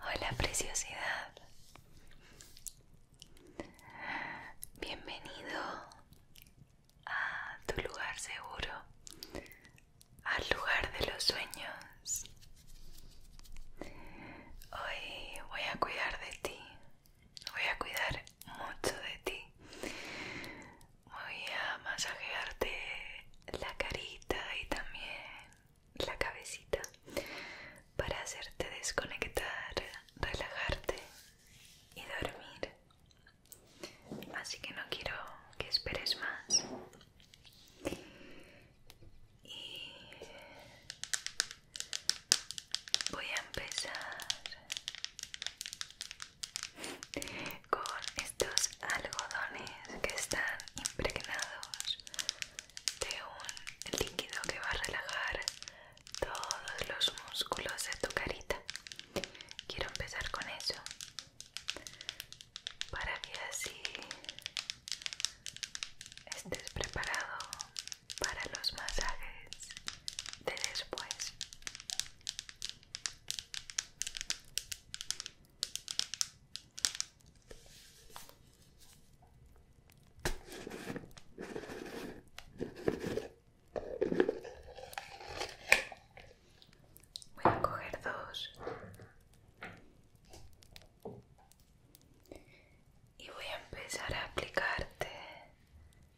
Hola preciosidad. Bienvenido a tu lugar seguro, al lugar de los sueños. Hoy voy a cuidar de ti, voy a cuidar mucho de ti. Voy a masajearte la carita y también la cabecita para hacerte desconectar, relajarte y dormir. Así que no quiero que esperes más y voy a empezar con estos algodones que están impregnados de un líquido que va a relajar todos los músculos de tu carita quiero empezar con eso para que así estés preparado para los masajes de después. Voy a coger dos y voy a empezar a aplicarte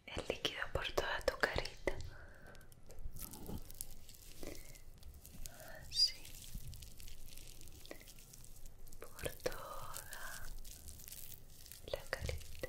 el líquido por toda tu carita así por toda la carita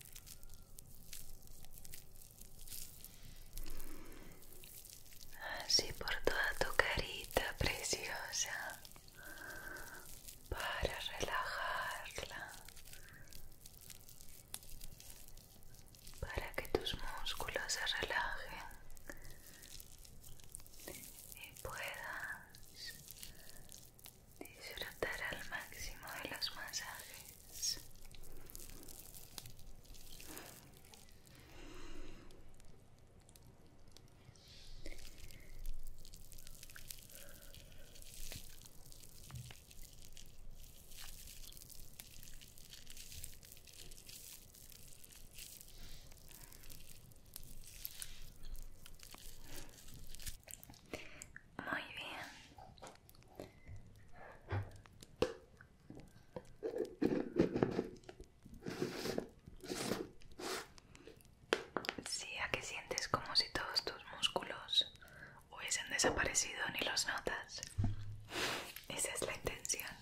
Así por toda tu carita preciosa para relajarla, para que tus músculos se relajen y puedas Disfrutar al máximo de los masajes. Muy bien, Sí, a que sientes como si todos tus músculos hubiesen desaparecido ni los notas. Esa es la intención.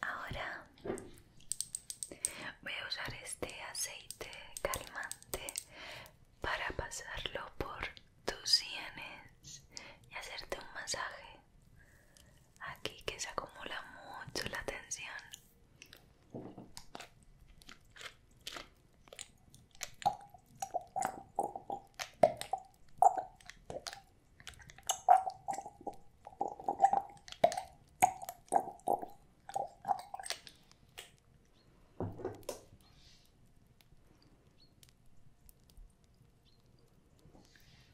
Ahora voy a usar este aceite calmante para pasarlo por tus sienes y hacerte un masaje aquí que se acumula mucho la tensión.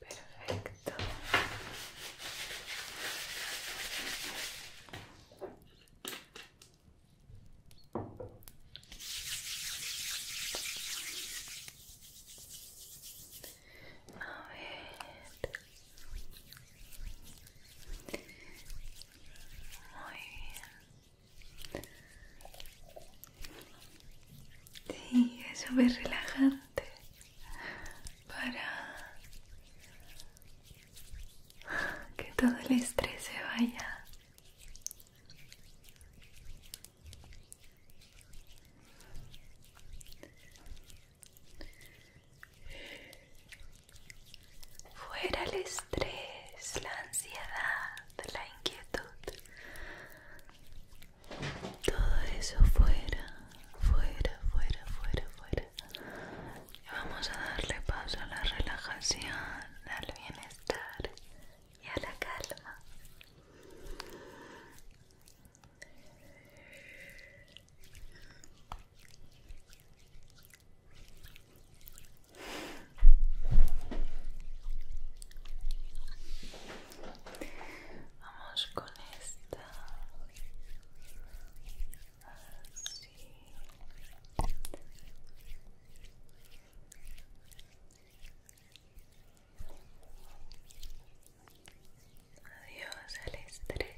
Perfecto. A ver. Muy bien. Sí, es súper relajante para que todo el estrés se vaya. Fuera el estrés, la ansiedad, la inquietud. Todo eso fuera, fuera, fuera, fuera, fuera. vamos a darle paso a la relajación, al bienestar y a la calma. Vamos con esta. Así. Adiós al estrés.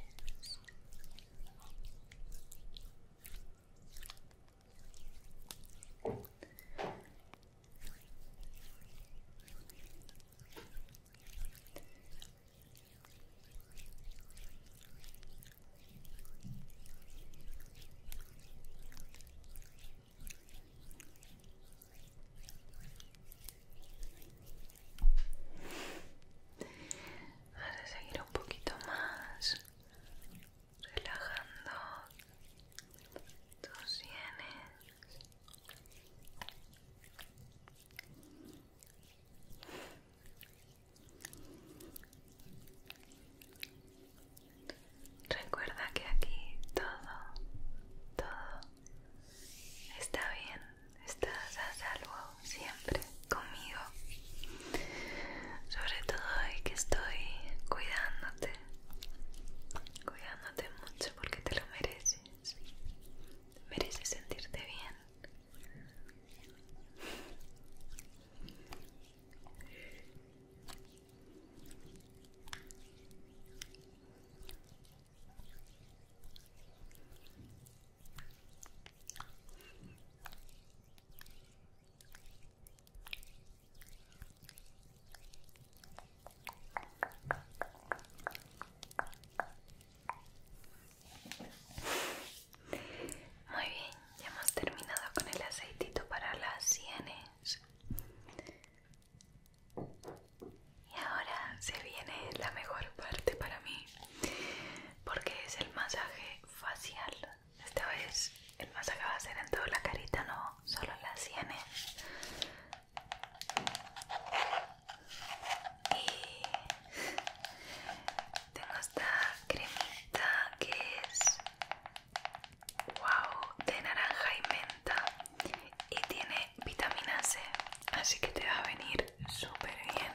Vas a seguir un poquito más relajando tus sienes Recuerda que aquí todo, todo está bien, estás a salvo siempre conmigo. Sobre todo hoy que estoy cuidándote. Cuidándote mucho porque te lo mereces. Mereces sentirte bien. Muy bien, ya hemos terminado con el aceitito para las sienes. Y ahora se viene la mejor parte para mí, porque es el masaje facial. Esta vez el más va a ser en toda la carita, no solo en la sienes. ¿eh? Y tengo esta cremita que es wow de naranja y menta y tiene vitamina C, así que te va a venir súper bien.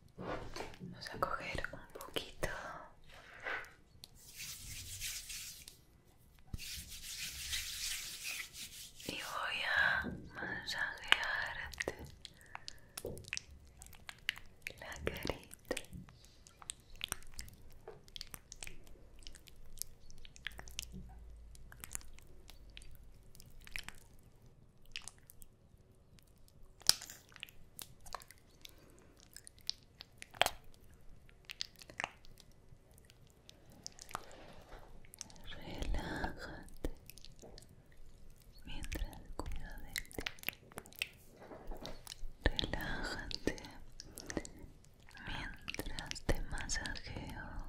Vamos a coger un poquito. Y voy a masajearte la carita. Relájate mientras cuida de ti. Relájate mientras te masajeo.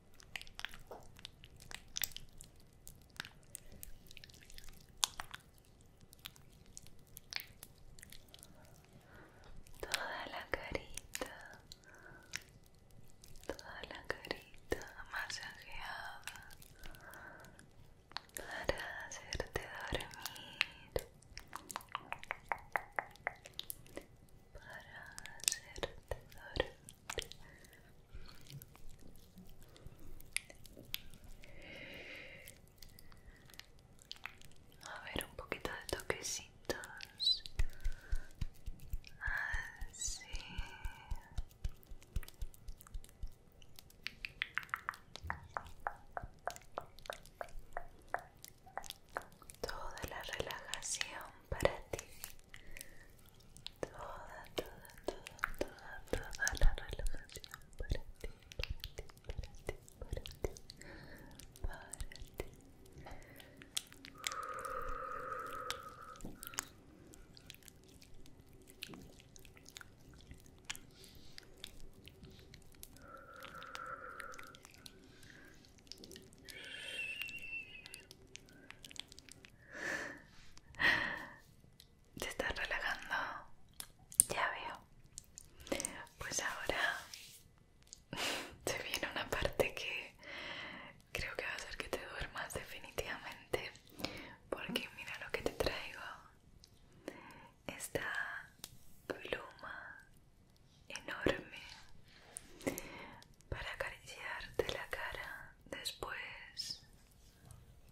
Toda la carita, toda la carita masajeada para hacerte dormir, para hacerte dormir. A ver, un poquito de toquecitos. Así. Ah, Toda la relajación para ti toda, toda, toda, toda, toda la relajación para ti, para ti, para ti, para ti, para ti. ¿Te estás relajando? Ya veo. Pues ahora se viene una parte que creo que va a hacer que te duermas definitivamente. Porque mira lo que te traigo. Esta pluma enorme para acariciarte la cara después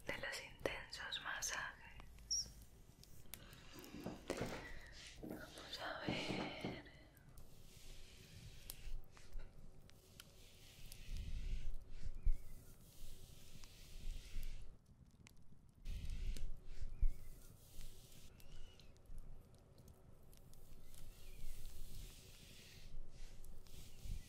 de los intensos masajes. Vamos a ver.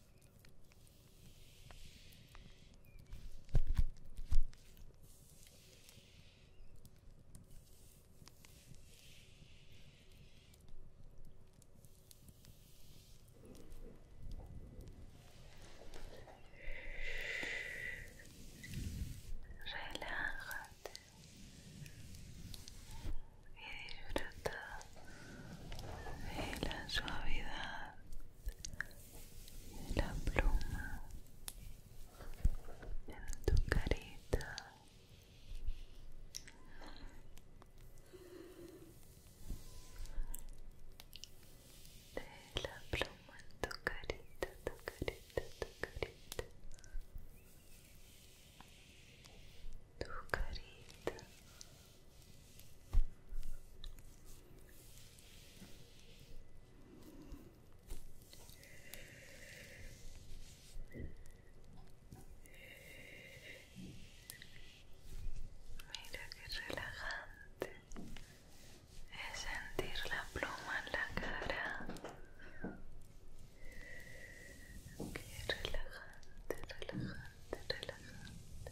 Relájate y disfruta de la suavidad la pluma en tu carita de la pluma en tu carita, tu carita, tu carita tu carita Mira qué relajante es sentir la pluma en la cara. Qué relajante, relajante, relajante.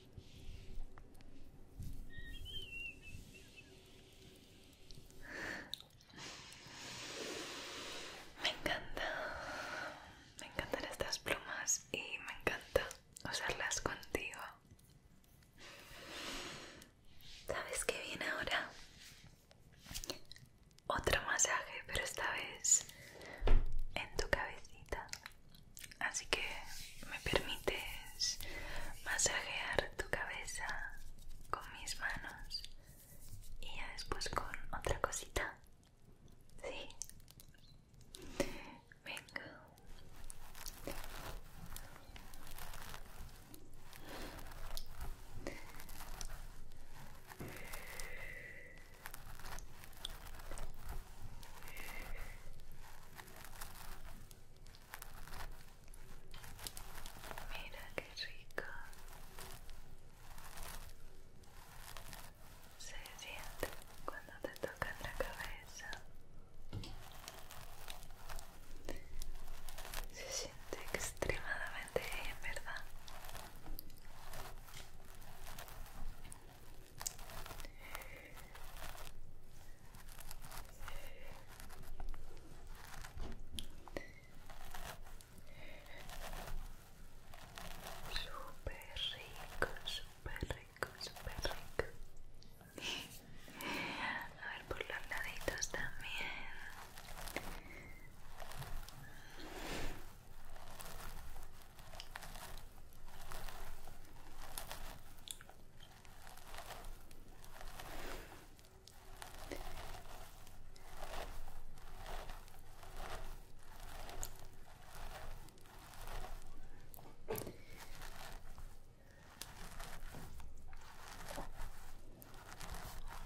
Me encanta, me encantan estas plumas y me encanta usarlas contigo. ¿Sabes qué viene ahora? Otro masaje, pero esta vez en tu cabecita. Así que me permites masajear tu cabeza con mis manos y ya después con otra cosita. Sí. Venga. Mira qué rico. Se siente cuando te tocan la cabeza. Se siente extremadamente bien, ¿verdad? super rico, super rico, súper rico. A ver por los laditos también.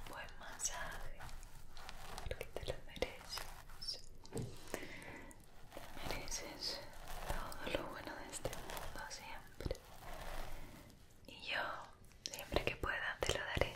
Buen masaje, porque te lo mereces. Te mereces todo lo bueno de este mundo siempre. Y yo, siempre que pueda, te lo daré.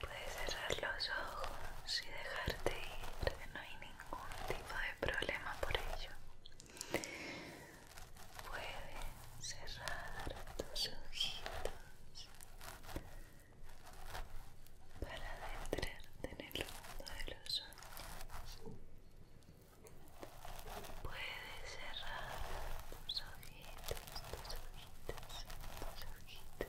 Puedes cerrar los ojos y dejarte ir, no hay ningún tipo de problema por ello. Puedes cerrar tus ojitos para adentrarte en el mundo de los ojos Puedes cerrar tus ojitos, tus ojitos, tus ojitos.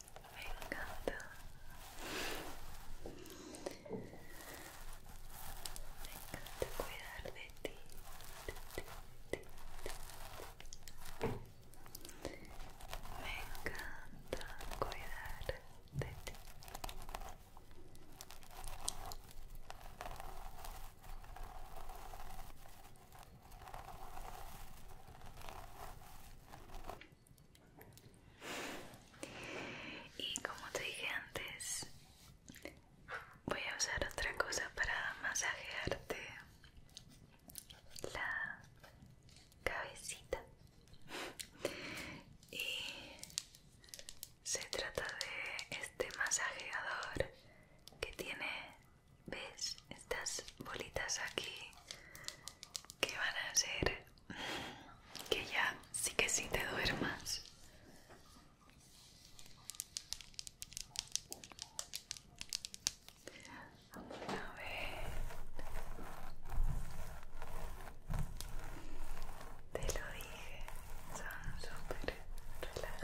Me encanta. Me encanta cuidar de ti. Me encanta cuidar de ti. Y como te dije antes, voy a usar otra cosa para masajearte la cabecita. Y se trata de este masajeador que tiene, ¿ves? Estas bolitas aquí que van a ser que ya sí que sí te duermas. A ver. Te lo dije, son súper relajantes.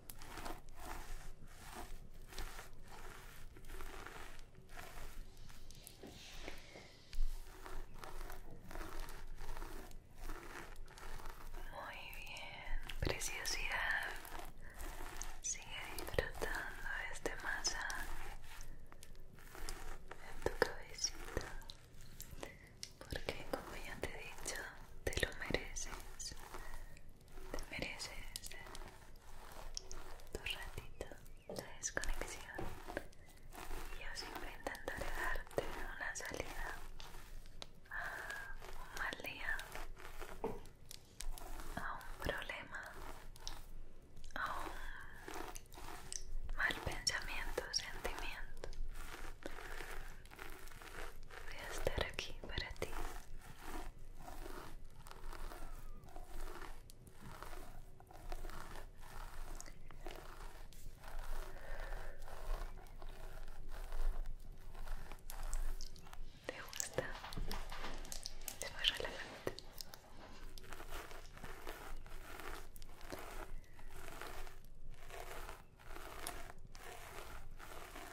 Muy bien, preciosidad. Sigue disfrutando este masaje en tu cabecita, porque como ya te he dicho, te lo mereces. Te mereces tu ratito de desconexión y yo siempre intentaré darte una salida a ah, un mal día, a un problema, a un mal pensamiento, sentimiento. Voy a estar aquí para ti. ¿Te gusta? Es la relajante.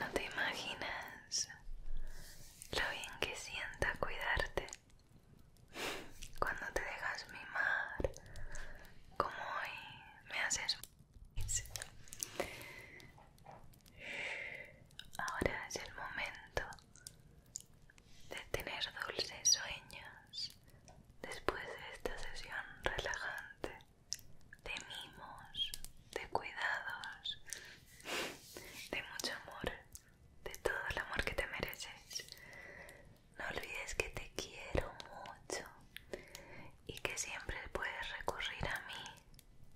No te imaginas lo bien que sienta cuidarte cuando te dejas mimar, como hoy me haces. Ahora es el momento de tener dulces sueños después de esta sesión relajante de mimos, de cuidados, de mucho amor, de todo el amor que te mereces. No olvides que te quiero mucho y que siempre puedes recurrir a mí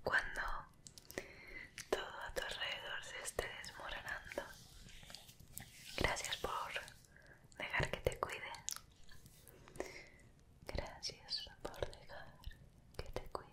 cuando todo a tu alrededor se esté desmoronando. Gracias por dejar que te cuide. Gracias por dejar que te cuide.